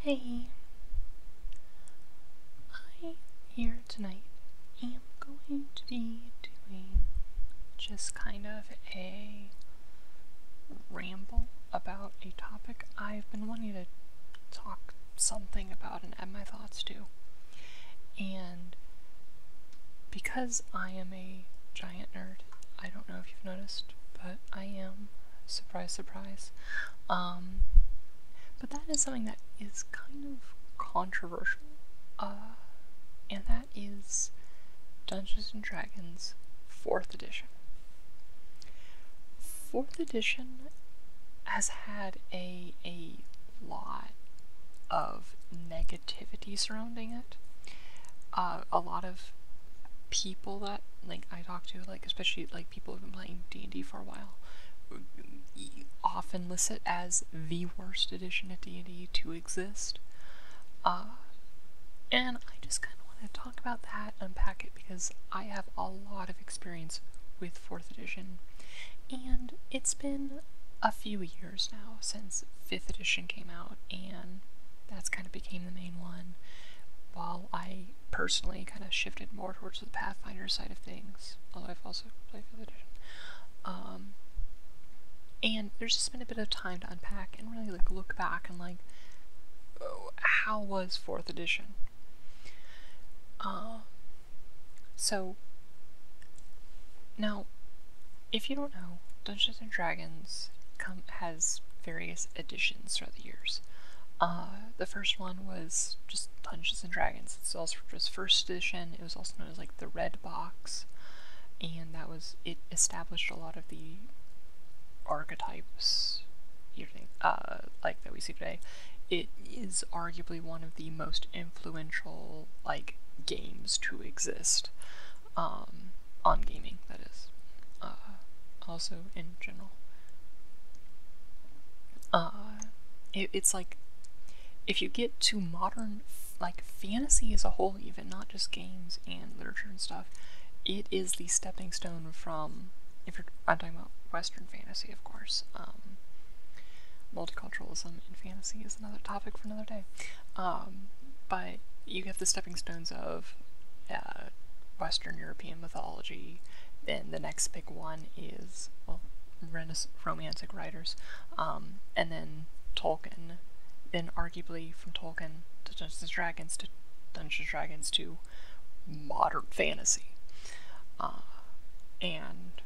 Hey, I here tonight am going to be doing just kind of a ramble about a topic I've been wanting to talk something about and add my thoughts to. And because I am a giant nerd, I don't know if you've noticed, but I am, surprise, surprise, um, but that is something that is kind of controversial. Uh, and that is Dungeons and Dragons 4th edition. 4th edition has had a, a lot of negativity surrounding it. Uh, a lot of people that like I talked to, like especially like people who've been playing D&D for a while often list it as the worst edition of D&D to exist. Uh, and I just kind of want to talk about that, unpack it, because I have a lot of experience with 4th edition. And it's been a few years now since 5th edition came out, and that's kind of became the main one, while I personally kind of shifted more towards the Pathfinder side of things, although I've also played 5th edition. Um, and there's just been a bit of time to unpack and really like look back and like, oh, how was 4th edition? Uh, so, now, if you don't know, Dungeons and Dragons come, has various editions throughout the years. Uh, the first one was just Dungeons and Dragons. It's also just first edition. It was also known as like the Red Box, and that was it established a lot of the archetypes, you uh, like that we see today. It is arguably one of the most influential like games to exist. Um, on gaming, that is, uh, also in general. Uh, it's like if you get to modern, like fantasy as a whole, even not just games and literature and stuff, it is the stepping stone from. If you're, I'm talking about Western fantasy, of course. Um, multiculturalism in fantasy is another topic for another day. Um, but you have to step stones of uh, Western European mythology. Then the next big one is well, Romantic writers, um, and then Tolkien. Then arguably from Tolkien to Dungeons Dragons to Dungeons Dragons to modern fantasy, uh, and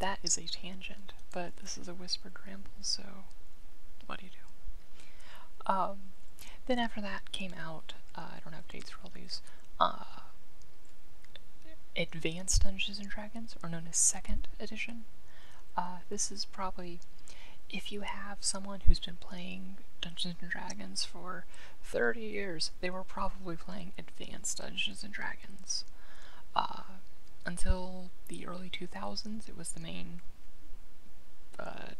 that is a tangent. But this is a whispered ramble, so what do you do? Um, then after that came out, uh, I don't have dates for all these, uh, Advanced Dungeons and Dragons, or known as Second Edition. Uh, this is probably if you have someone who's been playing Dungeons and Dragons for 30 years, they were probably playing Advanced Dungeons and Dragons. until the early 2000s, it was the main uh,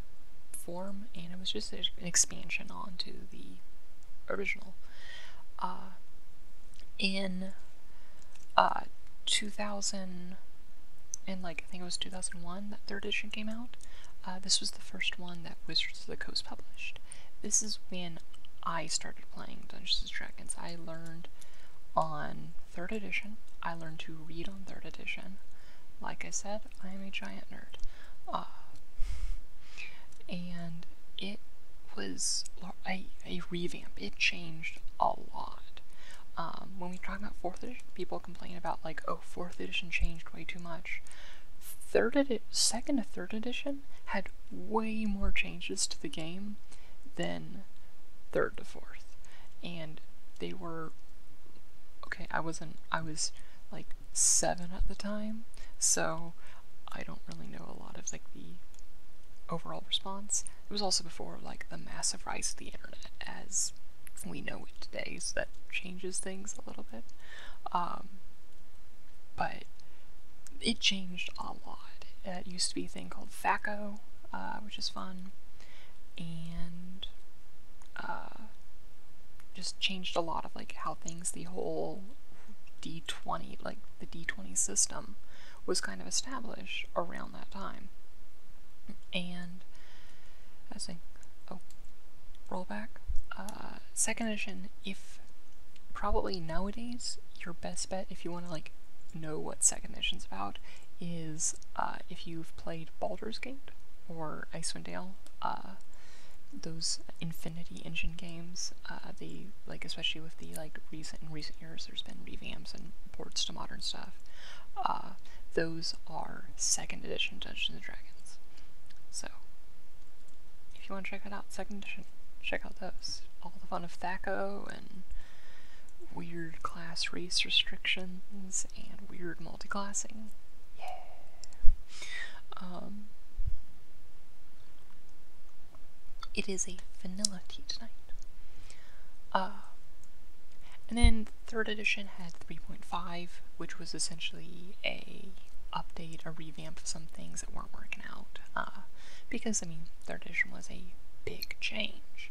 form, and it was just an expansion onto the original. Uh, in uh, 2000, and like I think it was 2001 that third edition came out. this was the first one that Wizards of the Coast published. This is when I started playing Dungeons and Dragons. I learned on third edition. I learned to read on third edition. Like I said, I am a giant nerd. Ah. and it was a, a revamp. It changed a lot. Um, when we talk about 4th edition, people complain about, like, oh, 4th edition changed way too much. 3rd edi- 2nd to 3rd edition had way more changes to the game than 3rd to 4th. And they were okay, I wasn't, I was like seven at the time, so I don't really know a lot of like the overall response. It was also before like the massive rise of the internet as we know it today, so that changes things a little bit. Um, but it changed a lot. Uh, it used to be a thing called FACO, uh, which is fun and uh, just changed a lot of like how things the whole d20 like the d20 system was kind of established around that time and i think oh roll back uh, second edition if probably nowadays your best bet if you want to like know what second edition's about is uh, if you've played Baldur's Gate or Icewind Dale, uh, those Infinity Engine games, uh, like especially with the like recent recent years, there's been revamps and ports to modern stuff. Uh, those are second edition Dungeons and Dragons. So, if you want to check that out, second edition, check out those. All the fun of Thaco and weird class race restrictions and weird multiclassing. Yeah. Um, it is a vanilla tea tonight. Uh, and then third edition had 3.5, which was essentially a update, a revamp of some things that weren't working out. Uh, because I mean, third edition was a big change,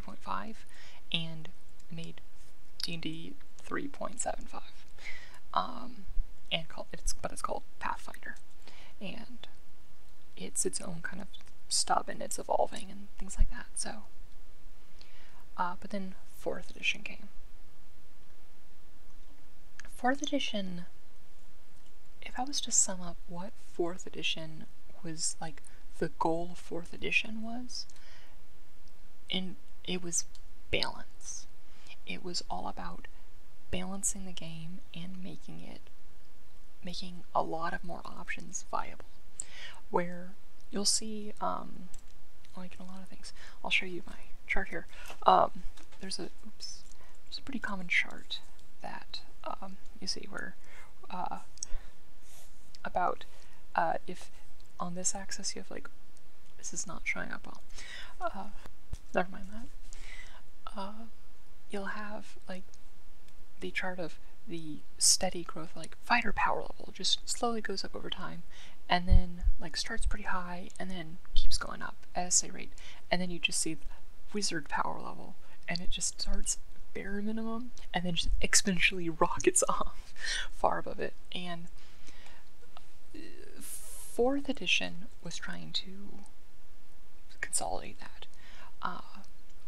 3.5 and made D&D 3.75. Um, and called it's but it's called Pathfinder, and it's its own kind of stub and it's evolving and things like that. So, uh, but then fourth edition came. Fourth edition. If I was to sum up what fourth edition was like the goal for edition was, and it was balance. It was all about balancing the game and making it making a lot of more options viable. Where you'll see, um, like in a lot of things, I'll show you my chart here. Um, there's a oops, there's a pretty common chart that um, you see where uh, about uh, if on this axis you have like this is not showing up well. Uh, never mind that. Uh, you'll have like the chart of the steady growth, like fighter power level, just slowly goes up over time, and then like starts pretty high, and then keeps going up at SA rate, and then you just see wizard power level, and it just starts bare minimum, and then just exponentially rockets off. far above it. And uh, fourth edition was trying to consolidate that. Uh,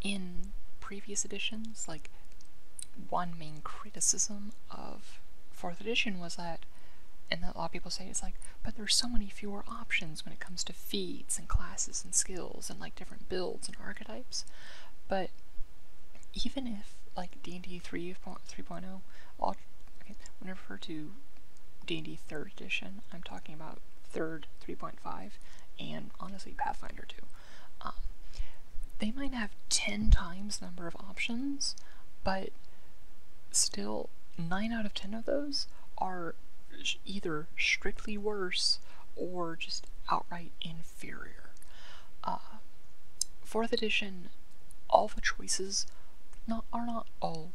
in previous editions, like one main criticism of fourth edition was that, and a lot of people say it's like, but there's so many fewer options when it comes to feats and classes and skills and like different builds and archetypes. But even if like D&D 3.0, 3.0, okay, when I refer to D&D 3rd edition, I'm talking about 3rd, 3.5, and honestly Pathfinder 2. Um, they might have 10 times number of options, but still 9 out of 10 of those are either strictly worse or just outright in. Uh, fourth edition, all the choices are not all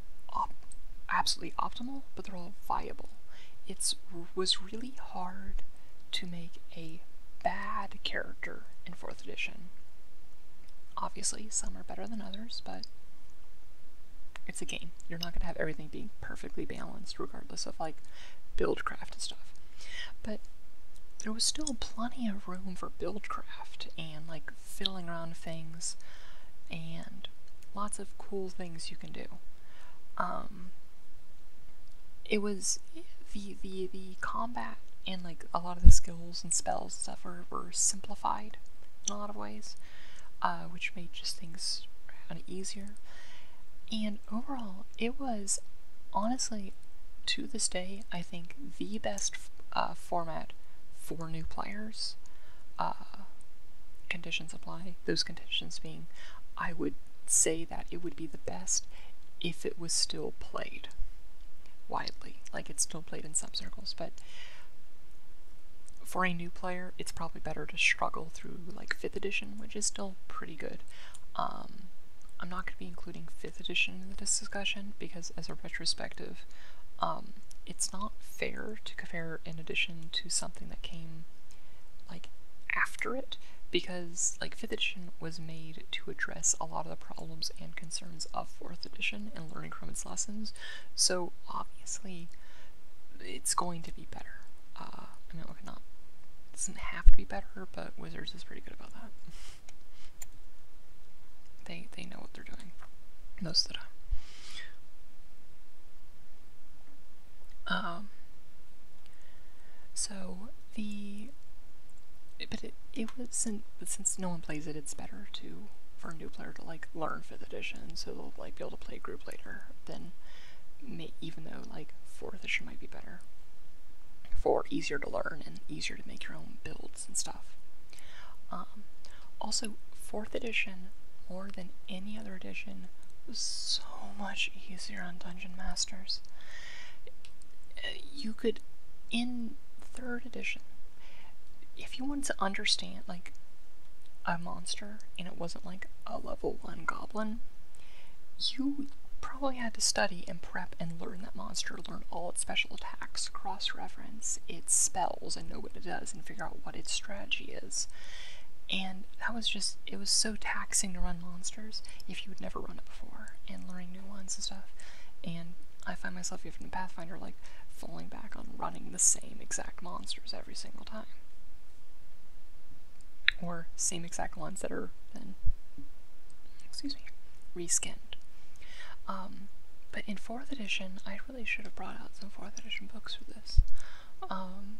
absolutely optimal, but they're all viable. It was really hard to make a bad character in fourth edition. Obviously, some are better than others, but it's a game. You're not going to have everything being perfectly balanced, regardless of like build craft and stuff. But there was still plenty of room for buildcraft and like fiddling around things and lots of cool things you can do. Um, it was the the the combat and like a lot of the skills and spells and stuff were, were simplified in a lot of ways, uh, which made just things kind of easier. And overall, it was honestly to this day, I think the best uh, format for new players. Uh, conditions apply. Those conditions being, I would say that it would be the best if it was still played widely. Like it's still played in some circles, but for a new player, it's probably better to struggle through like 5th edition, which is still pretty good. Um, I'm not going to be including 5th edition in this discussion because, as a retrospective, um, it's not fair to compare an edition to something that came like after it because like 5th edition was made to address a lot of the problems and concerns of 4th edition and learning from its lessons so obviously it's going to be better i uh, mean okay not have to be better, but Wizards is pretty good about that. they they know what they're doing most of the time. Um. So the but it, it wasn't but since no one plays it it's better to for a new player to like learn fifth edition so they'll like be able to play group later than even though like fourth edition might be better for easier to learn and easier to make your own builds and stuff. Um, also, 4th edition, more than any other edition, was so much easier on Dungeon Masters. You could, in 3rd edition, if you wanted to understand, like, a monster, and it wasn't like a level 1 goblin, you probably had to study and prep and learn that monster, learn all its special attacks, cross reference its spells, and know what it does, and figure out what its strategy is. And that was just, it was so taxing to run monsters if you had never run it before, and learning new ones and stuff. And I find myself, even in Pathfinder, like falling back on running the same exact monsters every single time or same exact ones that are then, excuse me, reskinned. Um, but in 4th edition, I really should have brought out some 4th edition books for this. Um,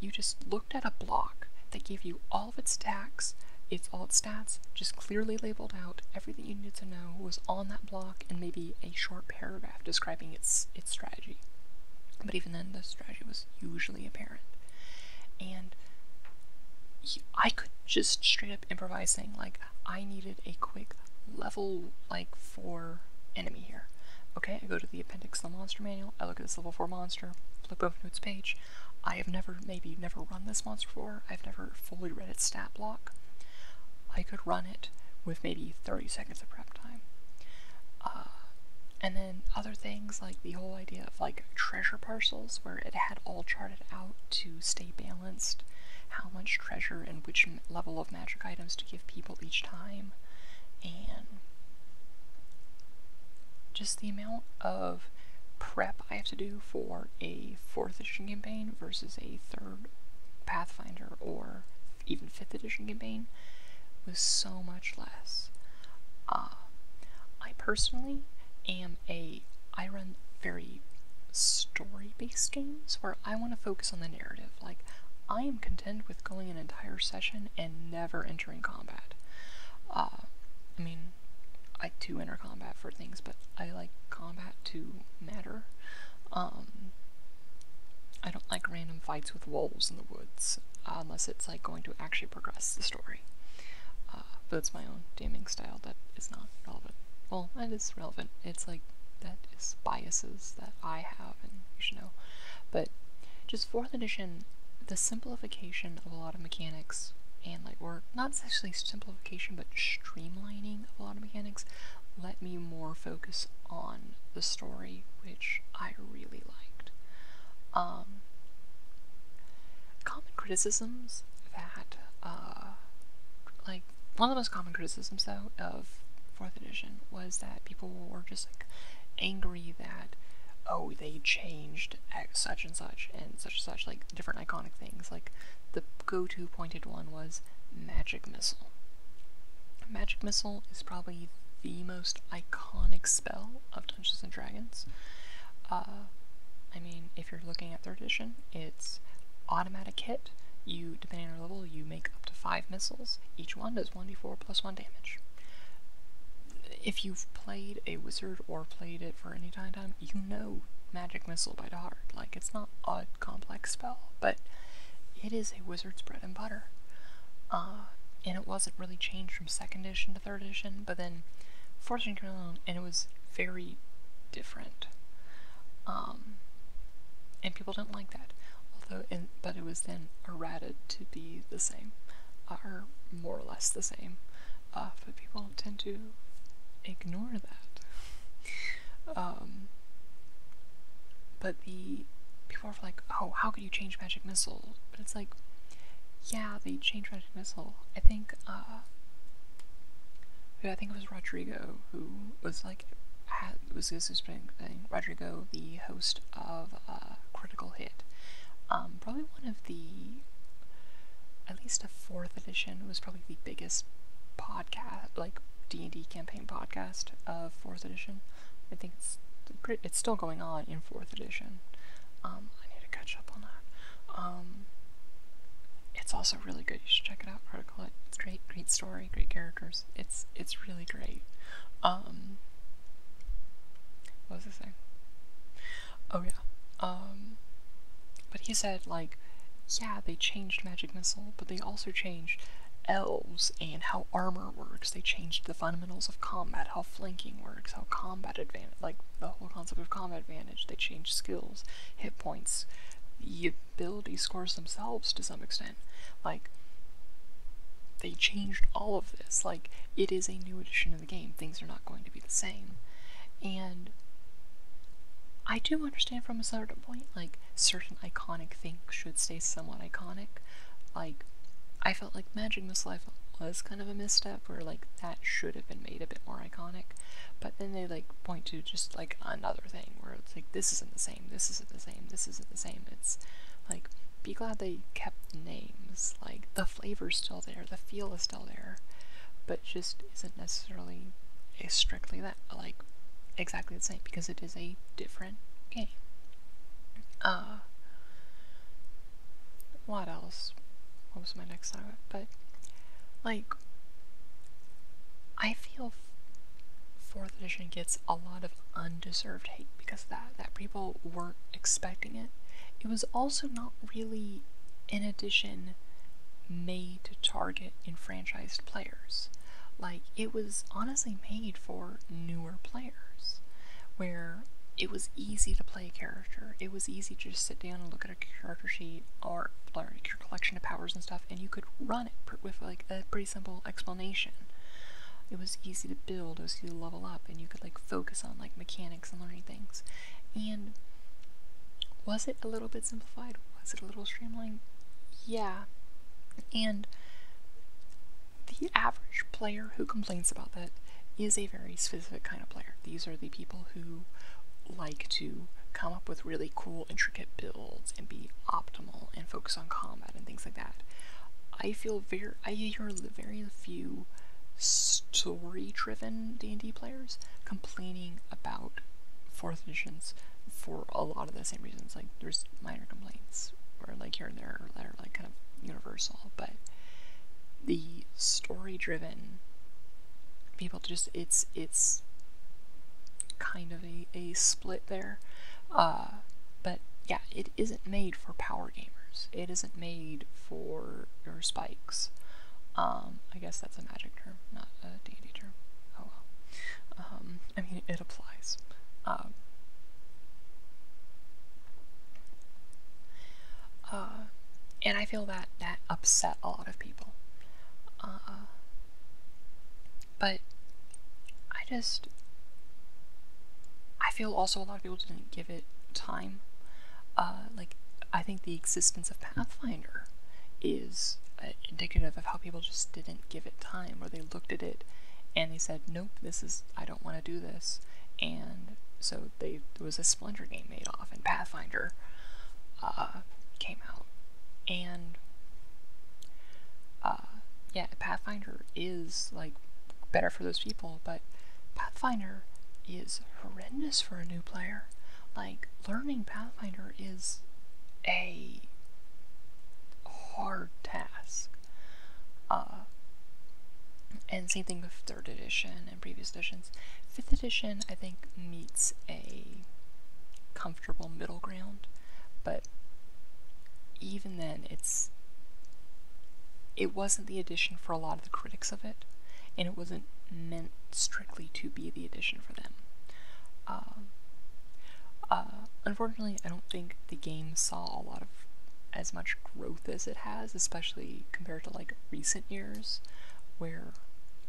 you just looked at a block that gave you all of its stacks, its all its stats, just clearly labeled out. Everything you needed to know was on that block and maybe a short paragraph describing its its strategy. But even then, the strategy was usually apparent. And I could just straight up improvise saying, like, I needed a quick level, like, 4 enemy here. Okay, I go to the appendix of the monster manual, I look at this level 4 monster, flip over to its page. I have never, maybe never run this monster before, I've never fully read its stat block. I could run it with maybe 30 seconds of prep time. Uh, and then and other things like the whole idea of like treasure parcels where it had all charted out to stay balanced how much treasure and which level of magic items to give people each time and just the amount of prep I have to do for a 4th edition campaign versus a 3rd Pathfinder or even 5th edition campaign was so much less. Uh, I personally am a I run very story-based games where I want to focus on the narrative. Like I am content with going an entire session and never entering combat. Uh, I mean, I do enter combat for things, but I like combat to matter. Um, I don't like random fights with wolves in the woods uh, unless it's like going to actually progress the story. Uh, but it's my own gaming style that is not relevant. Well, that is relevant. It's like, that is biases that I have and you should know. But just 4th edition, the simplification of a lot of mechanics and like, work not necessarily simplification, but streamlining of a lot of mechanics let me more focus on the story which I really liked. Um, common criticisms that, uh, like, one of the most common criticisms, though, of 4th edition was that people were just, like, angry that, oh, they changed such and such and such and such, like, different iconic things. Like, the go-to pointed one was Magic Missile. Magic Missile is probably the most iconic spell of Dungeons and Dragons. Uh, I mean, if you're looking at third edition, it's automatic hit. You, depending on your level, you make up to five missiles. Each one does 1d4 plus 1 damage. If you've played a wizard or played it for any time, time you know magic missile by the heart. Like, it's not a complex spell, but it is a wizard's bread and butter. Uh, and it wasn't really changed from second edition third edition, but then fourth edition came along and it was very different. Um, and people didn't like that. Although, but it was then errated to be the same, uh, or more or less the same. Uh, but people tend to ignore that. Um, but the people are like, oh, how you change Magic Missile? But it's like, yeah, they changed Magic Missile. I think, uh, I think it was Rodrigo who was like, was this thing. Rodrigo, the host of uh, Critical Hit, um, probably one of the, at least a fourth edition was probably the biggest podcast, like D and D campaign podcast of fourth edition. I think it's it's still going on in fourth edition. Um, I need to catch up on that. Um, it's also really good. You should check it out. Article. It's great. Great story. Great characters. It's it's really great. Um, what was I saying? Oh yeah. Um, but he said like, yeah, they changed Magic Missile, but they also changed elves and how armor works. They changed the fundamentals of combat, how flanking works, how combat advantage, like the whole concept of combat advantage. They changed skills, hit points, the ability scores themselves to some extent. Like, they changed all of this. Like, it is a new edition of the game. Things are not going to be the same. And I do understand from a certain point, like, certain iconic things should stay somewhat iconic. Like, I felt like Magic Life was kind of a misstep where like that should have been made a bit more iconic. But then they like point to just like another thing where it's like this isn't the same, this isn't the same, this isn't the same. It's like be glad they kept the names. Like the flavor's still there, the feel is still there, but just isn't necessarily is strictly that like exactly the same because it is a different game. Uh what else? What was my next thought? But like, I feel fourth edition gets a lot of undeserved hate because that that people weren't expecting it. It was also not really an edition made to target enfranchised players. Like it was honestly made for newer players where it was easy to play a character. It was easy to just sit down and look at a character sheet or like your collection of powers and stuff, and you could run it with like a pretty simple explanation. It was easy to build, it was easy to level up, and you could like focus on like mechanics and learning things. And was it a little bit simplified? Was it a little streamlined? Yeah. And the average player who complains about that is a very specific kind of player. These are the people who like to come up with really cool, intricate builds and be optimal and focus on combat and things like that. I feel very, I hear very few story-driven D&D players complaining about 4th editions for a lot of the same reasons. Like, there's minor complaints, or like here and there, or like kind of universal, but the story-driven people just it's it's kind of a, a split there. Uh, but yeah, it isn't made for power gamers. It isn't made for your spikes. Um, I guess that's a magic term, not a D&D term. Oh well. Um, I mean, it applies. Um, uh, and I feel that that upset a lot of people. Uh, but I just. I feel also a lot of people didn't give it time. Uh, like, I think the existence of Pathfinder is indicative of how people just didn't give it time, where they looked at it and they said, nope, this is. I don't don't want to do this. And so there was a Splinter game made off, and Pathfinder uh, came out. And uh, yeah, Pathfinder is like better for those people, but Pathfinder is horrendous for a new player. Like, learning Pathfinder is a hard task. Uh, and same thing with third edition and previous editions. Fifth edition, I think, meets a comfortable middle ground, but even then, it's it wasn't the edition for a lot of the critics of it, and it wasn't meant strictly to be the edition for them. Uh, uh, unfortunately, I don't think the game saw a lot of as much growth as it has, especially compared to like recent years, where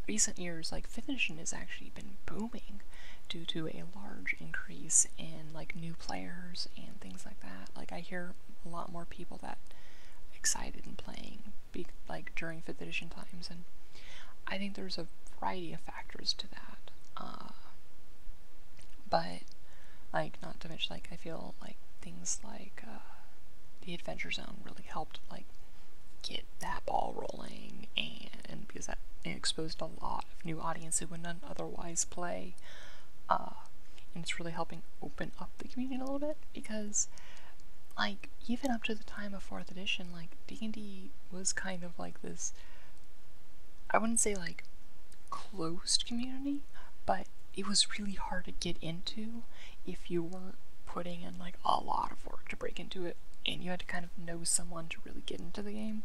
recent years like fifth edition has actually been booming due to a large increase in like new players and things like that. Like I hear a lot more people that excited in playing be, like during fifth edition times, and I think there's a variety of factors to that. Uh, but, like, not to mention, like, I feel like things like uh, the Adventure Zone really helped, like, get that ball rolling, and, because that exposed a lot of new audience who wouldn't otherwise play. Uh, and it's really helping open up the community a little bit because like even up to the time of fourth edition like d&d was kind of like this i wouldn't say like closed community but it was really hard to get into if you weren't putting in like a lot of work to break into it and you had to kind of know someone to really get into the game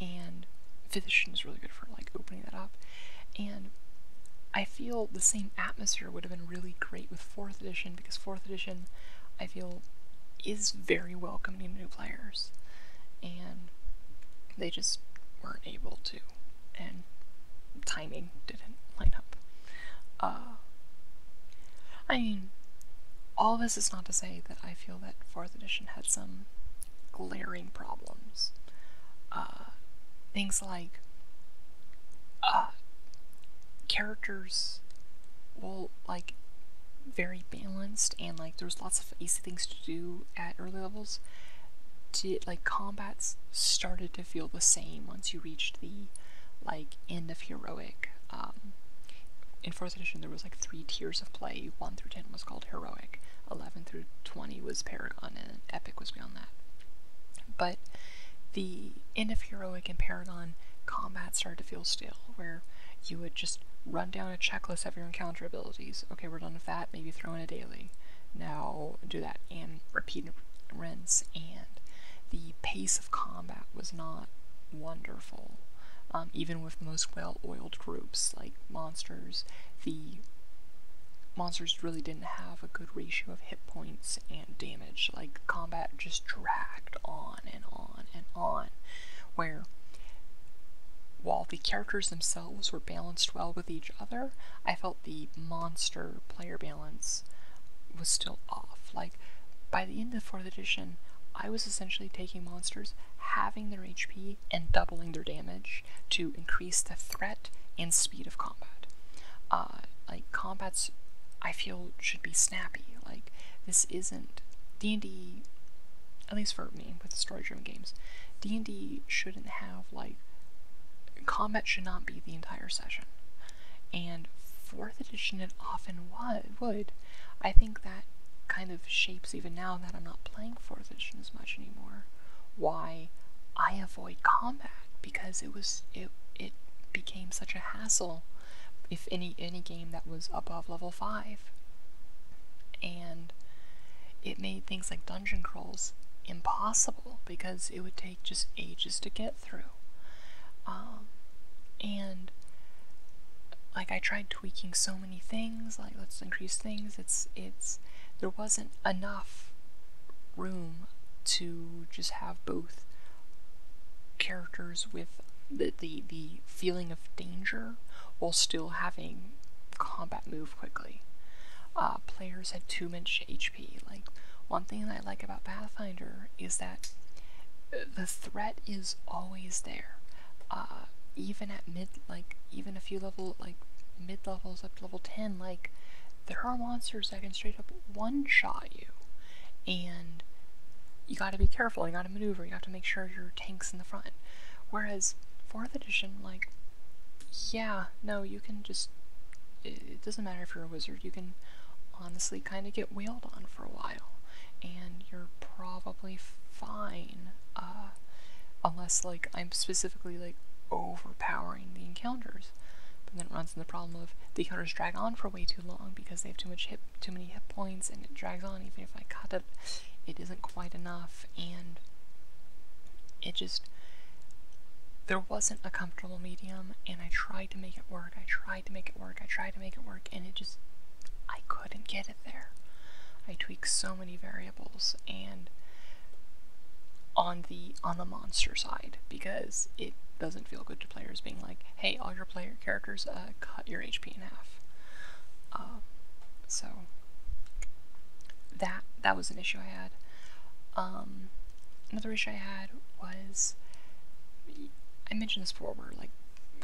and fifth edition is really good for like opening that up and i feel the same atmosphere would have been really great with fourth edition because fourth edition i feel is very welcoming to new players and they just weren't able to and timing didn't line up. Uh, I mean, all this is not to say that I feel that 4th edition had some glaring problems. Uh, things like uh, characters were like very balanced and like there was lots of easy things to do at early levels, to like combats started to feel the same once you reached the like end of heroic. Um, in fourth edition, there was like three tiers of play. One through ten was called heroic. Eleven through twenty was paragon, and epic was beyond that. But the end of heroic and paragon combat started to feel stale, where you would just run down a checklist of your encounter abilities. Okay, we're done with that. Maybe throw in a daily. Now, do that and repeat rinse. And the pace of combat was not wonderful. Um, even with most well-oiled groups like monsters, the monsters really didn't have a good ratio of hit points and damage. Like combat just dragged on and on and on, where while the characters themselves were balanced well with each other, I felt the monster player balance was still off. Like, by the end of 4th edition, I was essentially taking monsters, having their HP, and doubling their damage to increase the threat and speed of combat. Uh, like, combats, I feel, should be snappy. Like, this isn't. D&D, at least for with the story-driven games. D&D shouldn't have like combat should not be the entire session. And fourth edition it often would. I think that kind of shapes even now that I'm not playing fourth edition as much anymore. Why I avoid combat because it was it it became such a hassle if any any game that was above level 5 and it made things like dungeon crawl impossible because it would take just ages to get through. Um, and like I tried tweaking so many things, like let's increase things. It's it's there wasn't enough room to just have both characters with the, the, the feeling of danger while still having combat move quickly. Uh, players had too much HP. Like, one thing I like about Pathfinder is that uh, the threat is always there. Uh, even at mid, like, even a few level, like, mid levels up to level 10, like, there are monsters that can straight up one shot you. And you gotta be careful, you gotta maneuver, you have to make sure your tank's in the front. Whereas, 4th edition, like, yeah, no, you can just. It doesn't matter if you're a wizard, you can honestly kind of get wheeled on for a while, and you're probably fine. Uh, unless, like, I'm specifically, like, overpowering the encounters. But then it runs into the problem of the encounters drag on for way too long because they have too much hit, too many hit points, and it drags on even if I cut it it isn't quite enough, and it just there wasn't a comfortable medium and I tried to make it work. I tried to make it work. I tried to make it work and it just I couldn't get it there. I tweaked so many variables and on the on the monster side because it doesn't feel good to players being like, hey, all your player characters uh, cut your HP in half. Um, so that that was an issue I had. Um, another issue I had was I mentioned this before, where like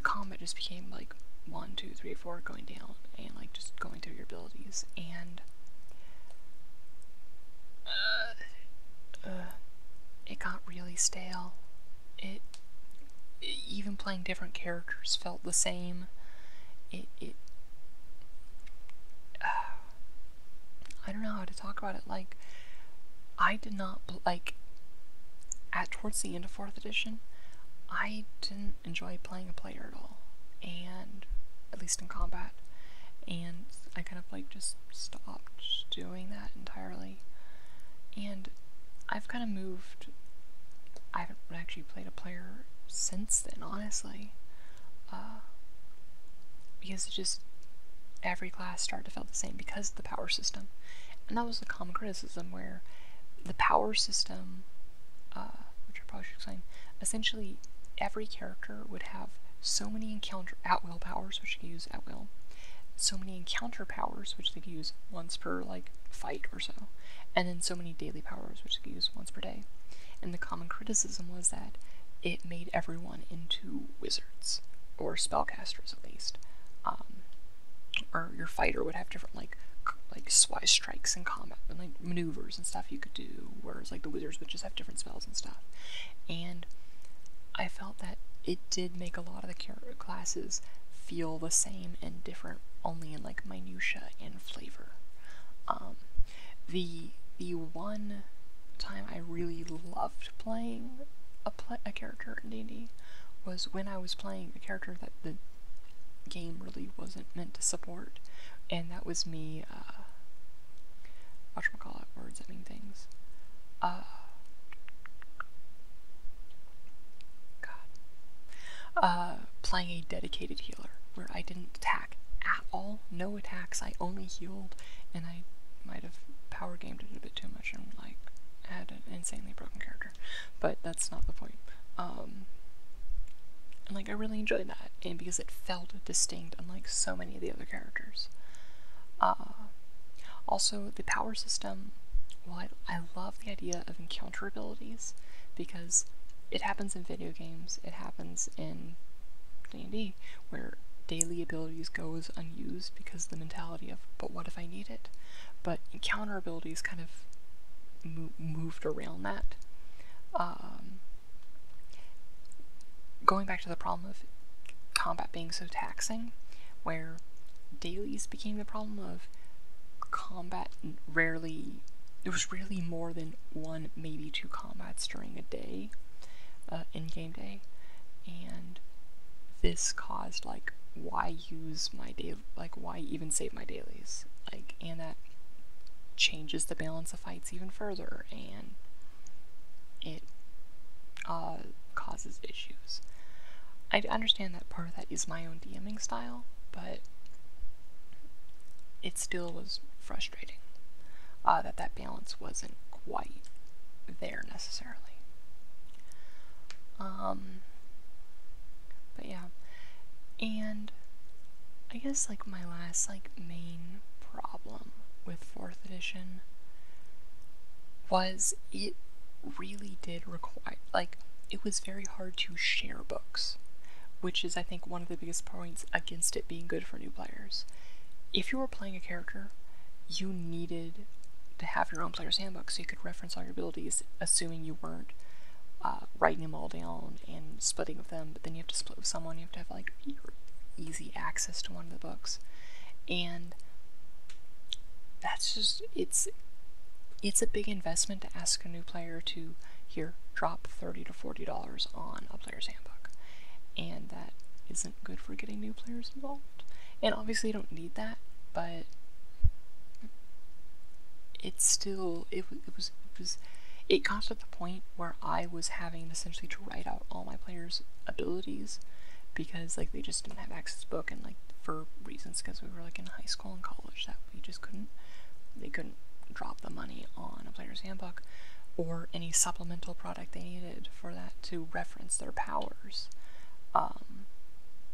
combat just became like one, two, three, four, going down, and like just going through your abilities, and uh, uh, it got really stale. It even playing different characters felt the same. It it I don't know how to talk about it. Like, I did not like at towards the end of fourth edition. I didn't enjoy playing a player at all, and at least in combat, and I kind of like just stopped doing that entirely. And I've kind of moved. I haven't actually played a player since then, honestly. Uh, because just every class started to feel the same because of the power system. And that was the common criticism where the power system, uh, which I probably should explain, essentially every character would have so many encounter at will powers, which you use at will, so many encounter powers, which they could use once per like fight so, and then so many daily powers, which you use once per day. And the common criticism was that it made everyone into wizards, or spellcasters at least. Um, or your fighter would have different, like, like wise strikes and combat and like maneuvers and stuff you could do, whereas like the wizards would just have different spells and stuff. And I felt that it did make a lot of the character classes feel the same and different, only in like minutia and flavor. Um, the the one time I really loved playing a a character in D&D was when I was playing a character that the game really wasn't meant to support, and that was me. Uh, out words and mean things. Uh, God, uh, playing a dedicated healer where I didn't attack at all, no attacks, I only healed, and I might have power gamed it a bit too much and like had an insanely broken character, but that's not the point. and um, like I really enjoyed that, and because it felt distinct, unlike so many of the other characters. Uh, also, the power system. While I, love the idea of encountering abilities because it happens in video games, it happens in D&D where daily abilities goes unused because the mentality of but what if I need it? But encounter abilities kind of moved around that. Um, going back to the problem of combat being so taxing, where dailies became the problem of combat rarely. It was really more than one, maybe two combats during a day, uh, in game day, and this caused like why use my day, like why even save my dailies, like and that changes the balance of fights even further, and it uh, causes issues. I understand that part of that is my own DMing style, but it still was frustrating uh, that that balance wasn't quite there necessarily. Um, but yeah, and I guess like my last like main problem with fourth edition was it really did require like it was very hard to share books which is I think one of the biggest points against it being good for new players. If you were playing a character, you needed to have your own player's handbook so you could reference all your abilities, assuming you weren't uh, writing them all down and splitting with them, but then you have to split with someone, you have to have like easy access to one of the books. And that's just it's it's a big investment to ask a new player to here, drop 30 to $40 on a player's handbook. And that isn't good for getting new players involved. And obviously you don't need that, but it's still, it, was, it was, it got to the point where I was having essentially to write out all my players' abilities because like they just didn't have access book and like for reasons because we were like in high school and college that you just couldn't. They couldn't drop the money on a player's handbook or any supplemental product they needed for that to reference their powers. Um,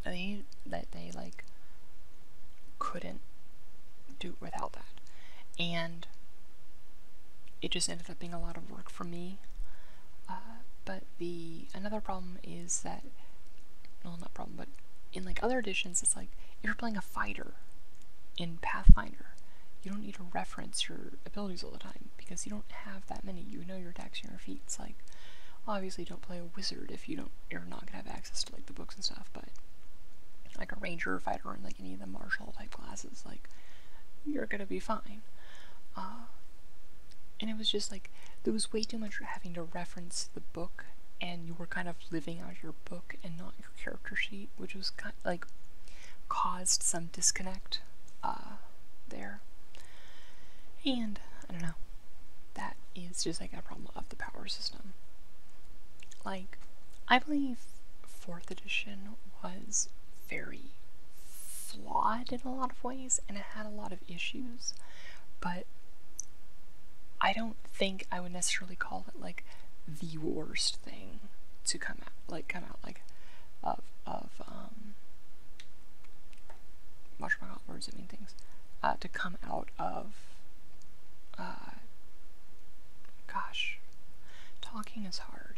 they that they like couldn't do without that, and it just ended up being a lot of work for me. Uh, but the another problem is that, well, not problem but in like other editions, it's like if you're playing a fighter in Pathfinder, you don't need to reference your abilities all the time because you don't have that many. You know your attacks and your feats. Like, obviously, don't play a wizard if you don't. You're not gonna have access to like the books and stuff. But like a ranger, fighter, and like any of the martial type classes, like you're gonna be fine. Uh, and it was just like there was way too much having to reference the book and you were kind of living out your book and not your character sheet, which was kind of, like caused some disconnect uh, there. And I don't know, that is just like a problem of the power system. Like, I believe fourth edition was very flawed in a lot of ways and it had a lot of issues, but I don't think I would necessarily call it like the worst thing to come out, like come out like of of um. Watch my words, I mean things. Uh, to come out of. Uh, gosh, talking is hard.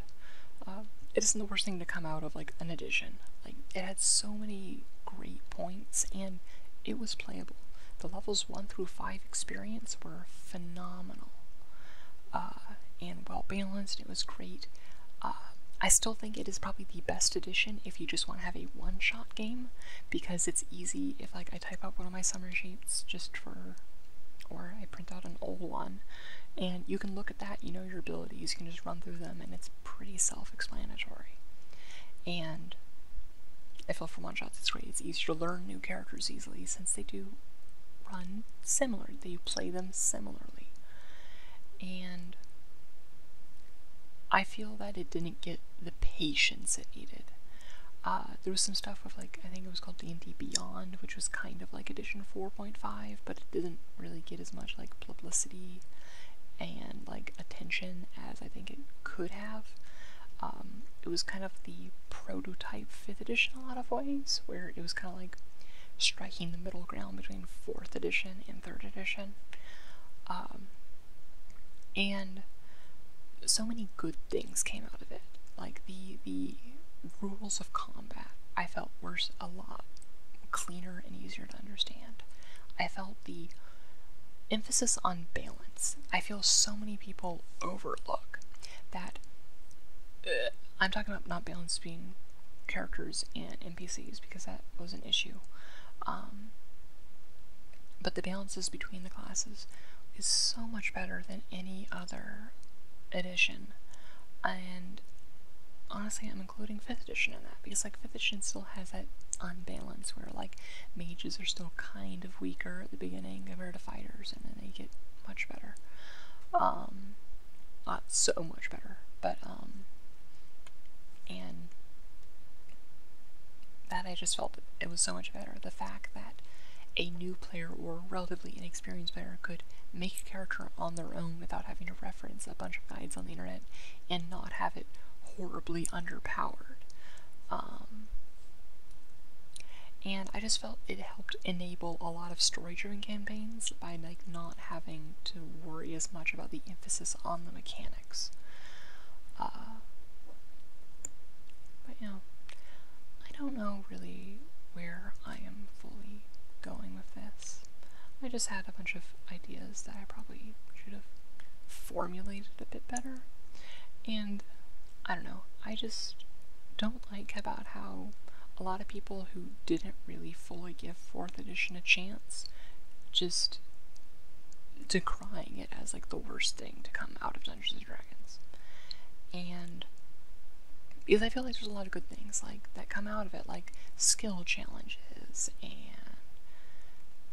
Uh, it isn't the worst thing to come out of like an edition. Like it had so many great points and it was playable. The levels 1 through 5 experience were phenomenal uh, and well balanced. It was great. Uh, I still think it is probably the best edition if you just want to have a one-shot game because it's easy if like I type up one of my summary sheets just for or I print out an old one and you can look at that, you know your abilities, you can just run through them and it's pretty self-explanatory. And I feel for one shots it's great. It's easier to learn new characters easily since they do run similar. They play them similarly. And I feel that it didn't get the patience it needed. Uh, there was some stuff with like I think it was called D&D Beyond, which was kind of like Edition 4.5, but it didn't really get as much like publicity and like attention as I think it could have. Um, it was kind of the prototype 5th edition in a lot of ways, where it was kind of like striking the middle ground between 4th edition and 3rd edition. Um, and so many good things came out of it. Like the, the rules of combat, I felt were a lot cleaner and easier to understand. I felt the emphasis on balance I feel so many people overlook that uh, I'm talking about not balance being characters and NPCs because that was an issue um, but the balances between the classes is so much better than any other edition and honestly I'm including 5th edition in that because like 5th edition still has that unbalance where like mages are still kind of weaker at the beginning compared to fighters, and then they get much better. Um, not so much better, but um, and that I just felt it was so much better. The fact that a new player or relatively inexperienced player could make a character on their own without having to reference a bunch of guides on the internet and not have it horribly underpowered. Um, and I just felt it helped enable a lot of story-driven campaigns by like not having to worry as much about the emphasis on the mechanics. Uh, but you I don't know really where I am fully going with this. I just had a bunch of ideas that I probably should have formulated a bit better. And I don't know, I just don't like about how a lot of people who didn't really fully give 4th edition a chance just decrying it as like the worst thing to come out of Dungeons and Dragons. And because I feel like there's a lot of good things like that come out of it, like skill challenges and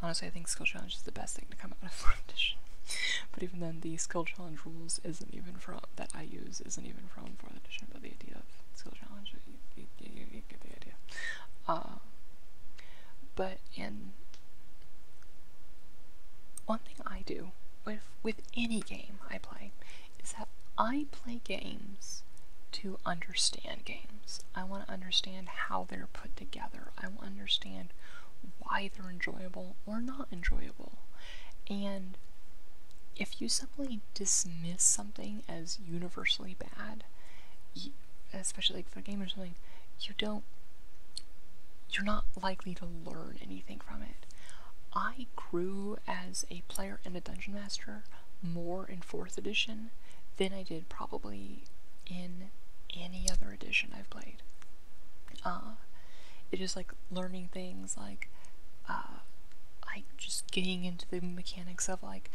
honestly I think skill challenge is the best thing to come out of fourth edition. but even then, the skill challenge rules isn't even from that I use isn't even from fourth edition. But the idea of skill challenge, you, get the idea. Um, but in one thing I do with with any game I play is that I play games to understand games. I want to understand how they're put together. I will understand why they're enjoyable or not enjoyable. And if you simply dismiss something as universally bad, especially like for a game or something, you don't, you're not likely to learn anything from it. I grew as a player and a dungeon master more in 4th edition than I did probably in any other other edition I've played. Uh, it is like learning things like, uh, like just getting into the mechanics of like,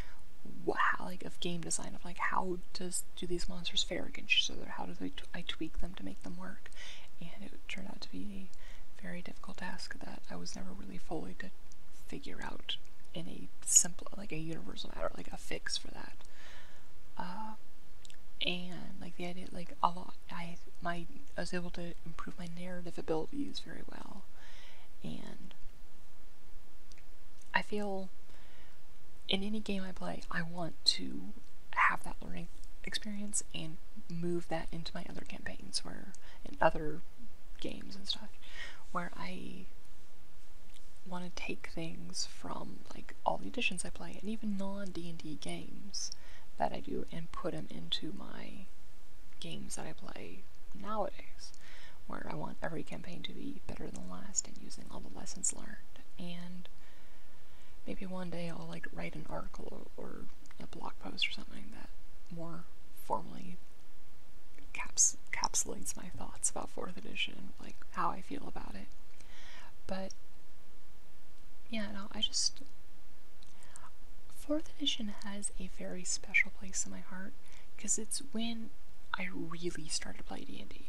how, like of game design of like how does do these monsters fare against each other? How do I tweak them to make them work? And it turned out to be a very difficult task that I was never really fully to figure out any simple like a universal map, or like a fix for that. Uh, and like the idea, like a lot, I my I was able to improve my narrative abilities very well, and I feel in any game I play, I want to have that learning experience and move that into my other campaigns where in other games and stuff where I want to take things from like all the editions I play and even non-D&D games that I do and put them into my games that I play nowadays where I want every campaign to be better than the last and using all the lessons learned and maybe one day I'll like write an article or a blog post or something that more formally caps capsulates my thoughts about fourth edition, like how I feel about it. But yeah, no, I just fourth edition has a very special place in my heart because it's when I really started to play D&D.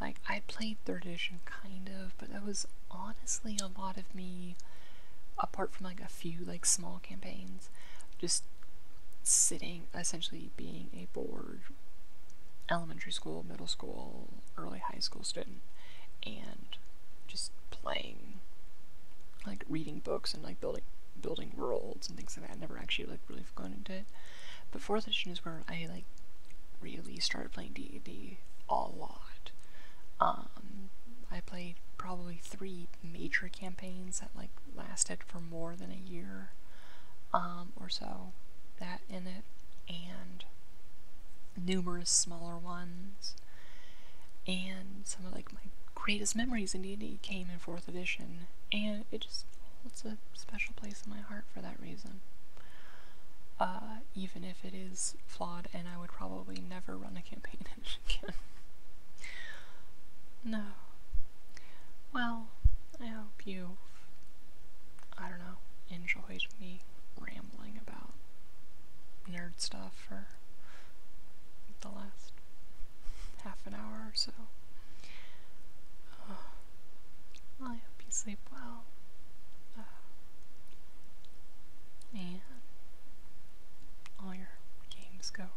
Like I played third edition kind of, but that was honestly a lot of me apart from like a few like small campaigns just sitting essentially being a board elementary school, middle school, early high school student, and just playing, like reading books and like building building worlds and things like that. never actually like really gone into it. But fourth edition is where I like really started playing D and d a lot. Um, I played probably three major campaigns that like lasted for more than a year um, or so, that in it, and numerous smaller ones. And some of like my greatest memories Indeed, came in 4th edition, and it just holds a special place in my heart for that reason. Uh, even if it is flawed, and I would probably never run a campaign in it again. no, well, I hope you've, I don't know, enjoyed me rambling about nerd stuff for the last half an hour or so. I hope you sleep well. and all your games go well.